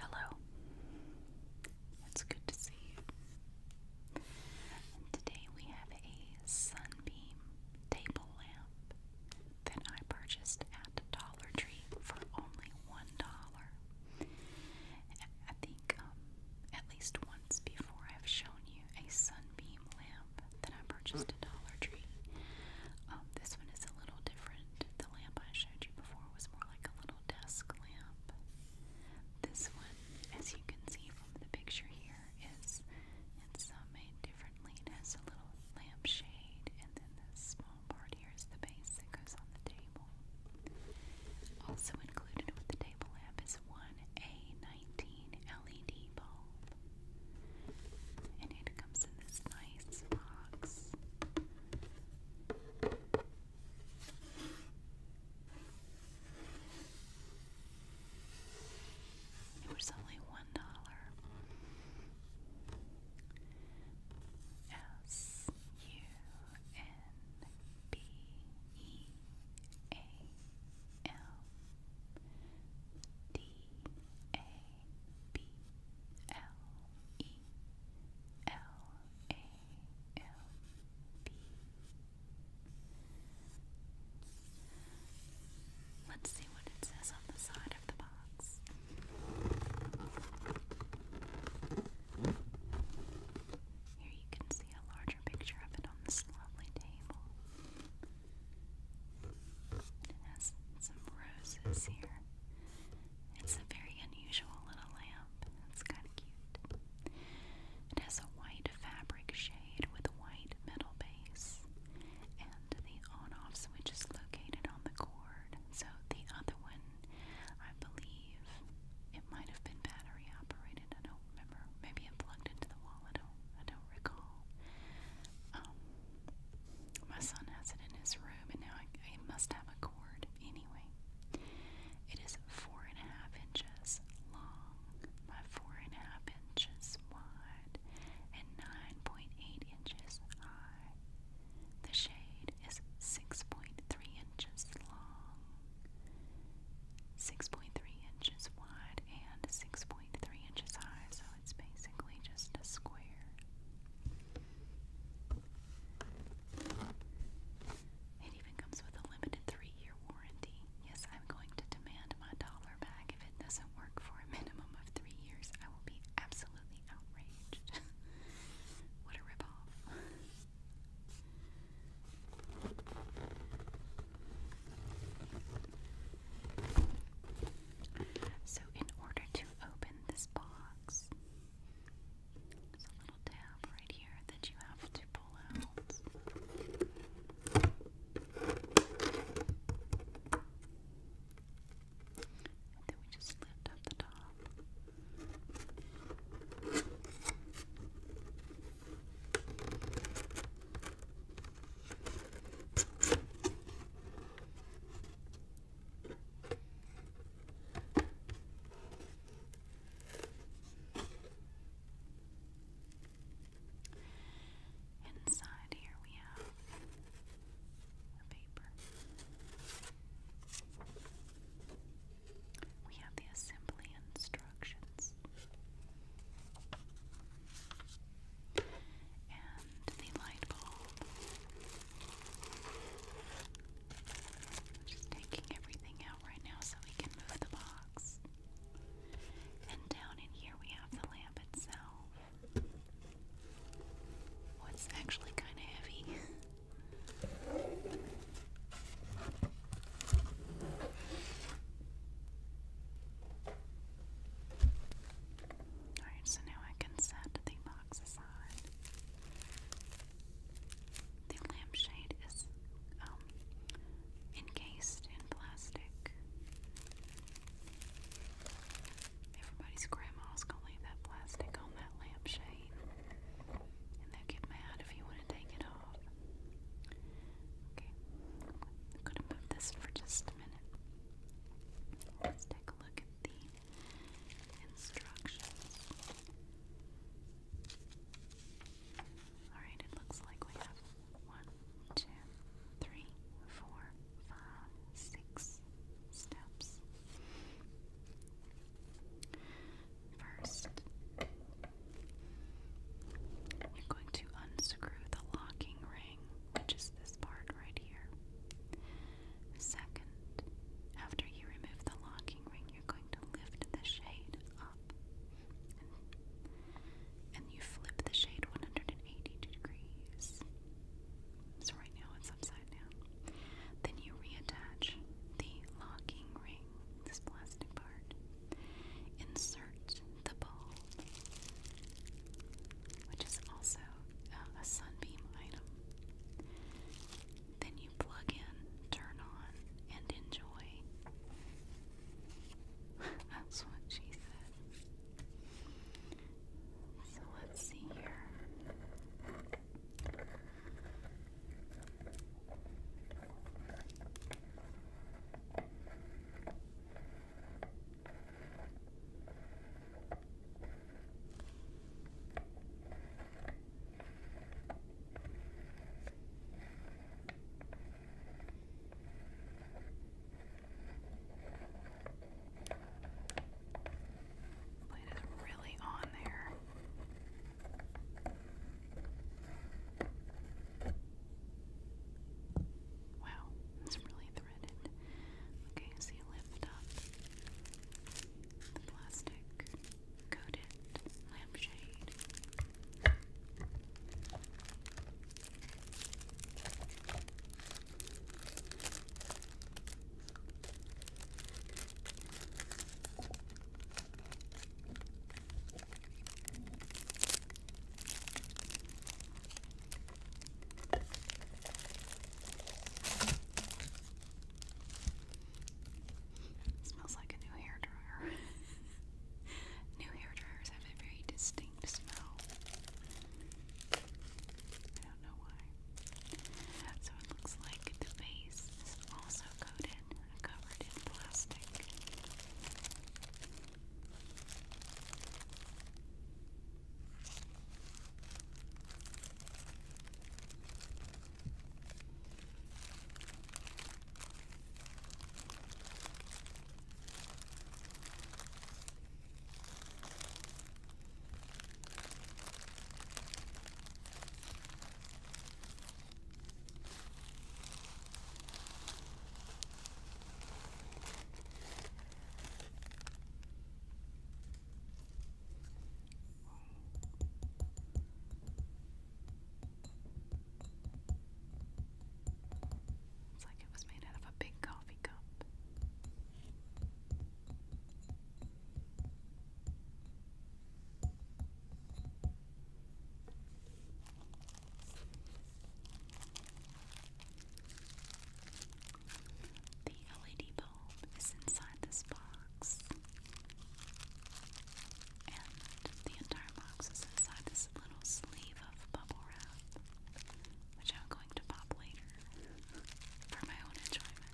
Hello. It's good to see you. today we have a Sunbeam table lamp that I purchased at Dollar Tree for only one dollar. I think um, at least once before I've shown you a Sunbeam lamp that I purchased at Dollar Tree. Um, this one is a little different the lamp I showed you before was more like a little desk lamp. This one, as you can see from the picture here, is it's made differently. It has a little lampshade, and then this small part here is the base that goes on the table. Also included with the table lamp is one A19 LED bulb, and it comes in this nice. Uh, it was only one dollar. S U N B E A L D A B L E L A M B. Let's see what it says on the side of the box. Here you can see a larger picture of it on this lovely table. It has some roses here. It's a very unusual little lamp. It's kind of cute. It has a white fabric shade with a white metal base, and the on-off switch is located on the cord. So the other one, I believe, it might have been battery operated. I don't remember. Maybe it plugged into the wall. I don't. I don't recall. Um, my son has it in his room, and now I, must have a cord anyway. It is four and a half inches long by four and a half inches wide and 9.8 inches high. The shade is 6.3 inches long, 6.3 inches wide, and 6.3 inches high, it's basically just a square. It even comes with a limited three year warranty. Yes, I'm going to demand my dollar back if it doesn't work for a minimum of three years. I will be absolutely outraged. what a ripoff. So, in order to open this box, there's a little tab right here that you have to pull out. And then we just lift up the top. Inside here we have paper. We have the assembly instructions and the light bulb, just taking everything out right now so we can move the box. And down in here we have the lamp itself. Oh, it's actually kind of heavy. Alright, so now I can set the box aside. The lampshade is um, encased in plastic. Everybody's grandma's gonna leave that plastic on that lampshade, and they'll get mad if you want to take it off. Okay, I'm gonna move this for just a minute. Let's take a look at the instructions. Alright, it looks like we have one, two, three, four, five, six steps. First, I'm going to unscrew the locking ring, which this part right here. Second, after you remove the locking ring, you're going to lift the shade up and you flip the shade 180 degrees. So, right now it's upside down. Then you reattach the locking ring, this plastic Insert the ball, which is also um, a sunbeam item. Then you plug in, turn on, and enjoy. That's what she said. So let's see here. Blade is really on there. Wow, it's really threaded. Okay, so you lift up the plastic coated lampshade smells like a new hair dryer. new hair dryers have a very distinct smell. I don't know why. So it looks like the base is also coated covered in plastic. It's like it was made out of a big coffee cup. The LED bulb is inside this box, and the entire box is inside this little sleeve of bubble wrap, which I'm going to pop later for my own enjoyment.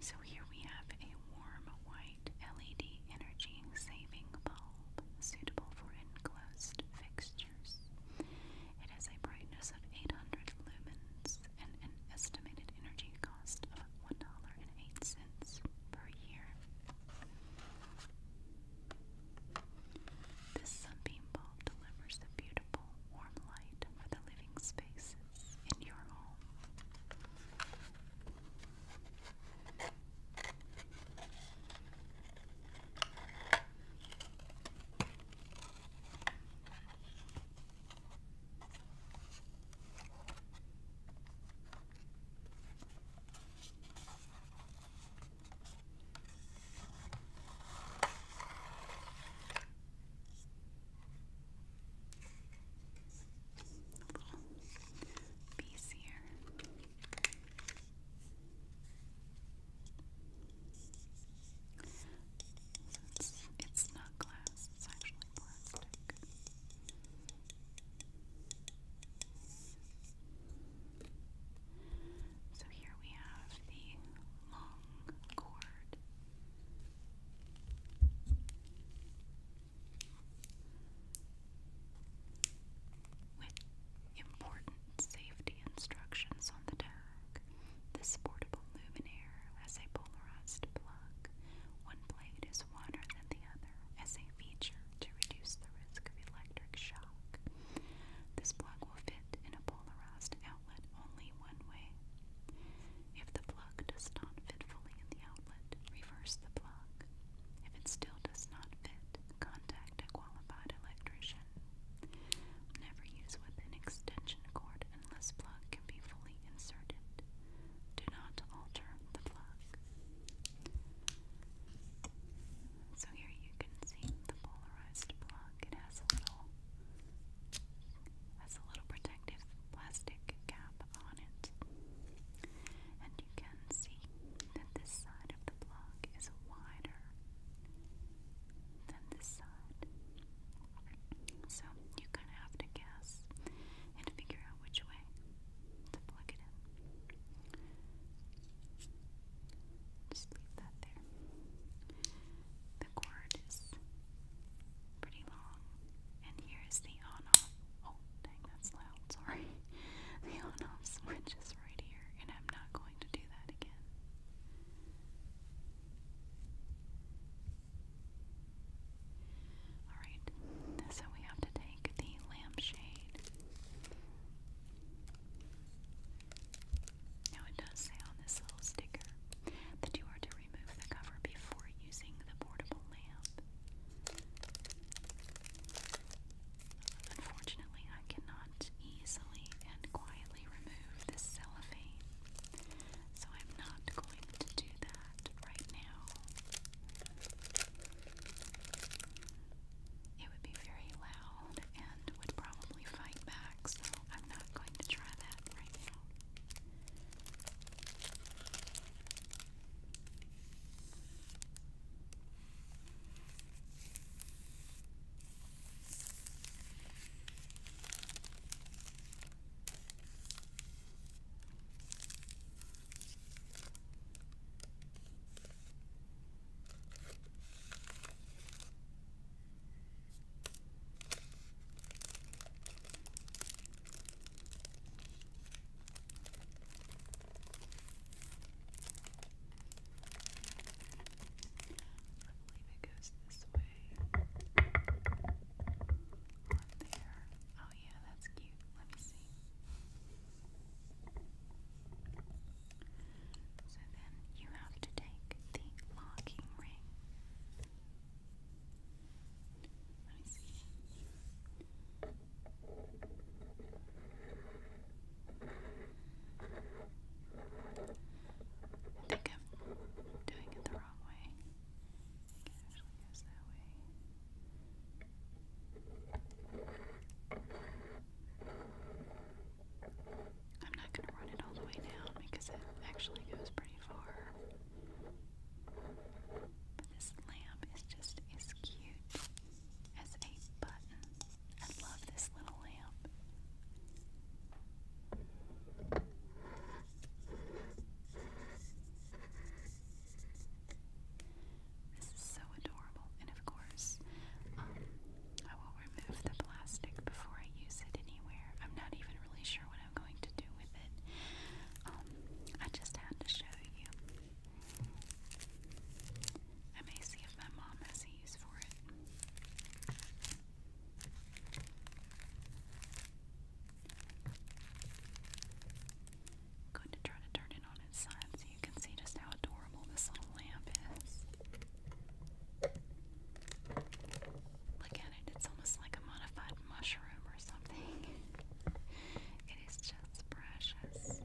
So here we have a warm white LED energy saving bulb suitable for enclosed fixtures. It has a brightness of 800 lumens and an estimated energy cost of $1.08 per year. This sunbeam bulb delivers a beautiful, warm light for the living spaces in your home. Little piece here. it's not glass, it's actually plastic. So here we have the long cord. With important safety instructions on the tag, this portable luminaire has a polarized plug. One blade is wider than the other, feature to reduce the risk of electric shock. This plug will fit in a polarized outlet only one way. If the plug does not fit fully in the outlet, reverse the plug. If it still does not fit, contact a qualified electrician. Never use with an extension cord unless plug can be fully inserted. Do not alter the plug. So here you can see the polarized block. It has a little has a little protective plastic cap on it. And you can see that this side of the block is wider than this side. So you kind of have to guess and figure out which way to plug Just leave that there. The cord is pretty long, and here is the on-off. Oh, dang, that's loud. Sorry. The on-off switch is right here, and I'm not going to do that again. Alright, so we have to take the lampshade. Now it does say on this little sticker that you are to remove the cover before using the portable lamp. Unfortunately, I cannot easily and quietly remove this cellophane, so I'm not going to do that right now. It would be very loud and would probably fight back, so I'm not going to try that right now. I believe it goes this way on there. Oh yeah, that's cute. Let me see. So then you have to take the locking ring. Let me see. I think I'm doing it the wrong way. I'm not going to run it all the way down because it actually goes pretty far. this lamp is just as cute as a button. I love this little lamp. This is so adorable, and of course, um, I will remove the plastic before I use it anywhere. I'm not even really sure what I'm going to do with it. Um, I just had to show you. I may see if my mom has a use for it. I'm going to try to turn it on its side so you can see just how adorable this little lamp is. Look at it, it's almost like a modified mushroom or something. It is just precious.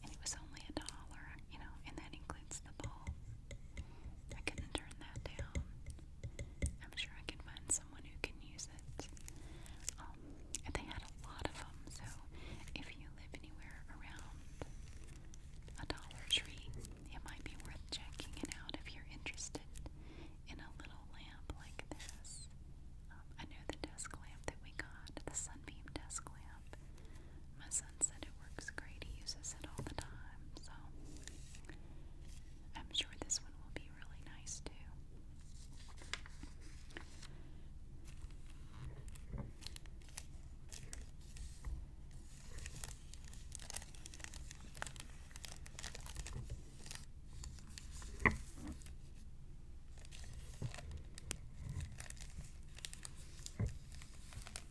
And it was only a dollar, you know, and that includes the ball. I couldn't turn that down. I'm sure I can find someone who can use it. Um, and they had a lot of them, so if you live anywhere around a Dollar Tree, it might be worth checking it out if you're interested in a little lamp like this. Um, I know the desk lamp that we got, the Sunbeam desk lamp up. My son said it works great. He uses it all the time. So I'm sure this one will be really nice too.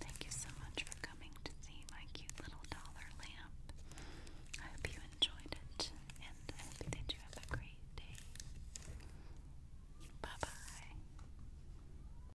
Thank you so much for coming to see my cute little dollar lamp. I hope you enjoyed it, and I hope that you have a great day. Bye bye.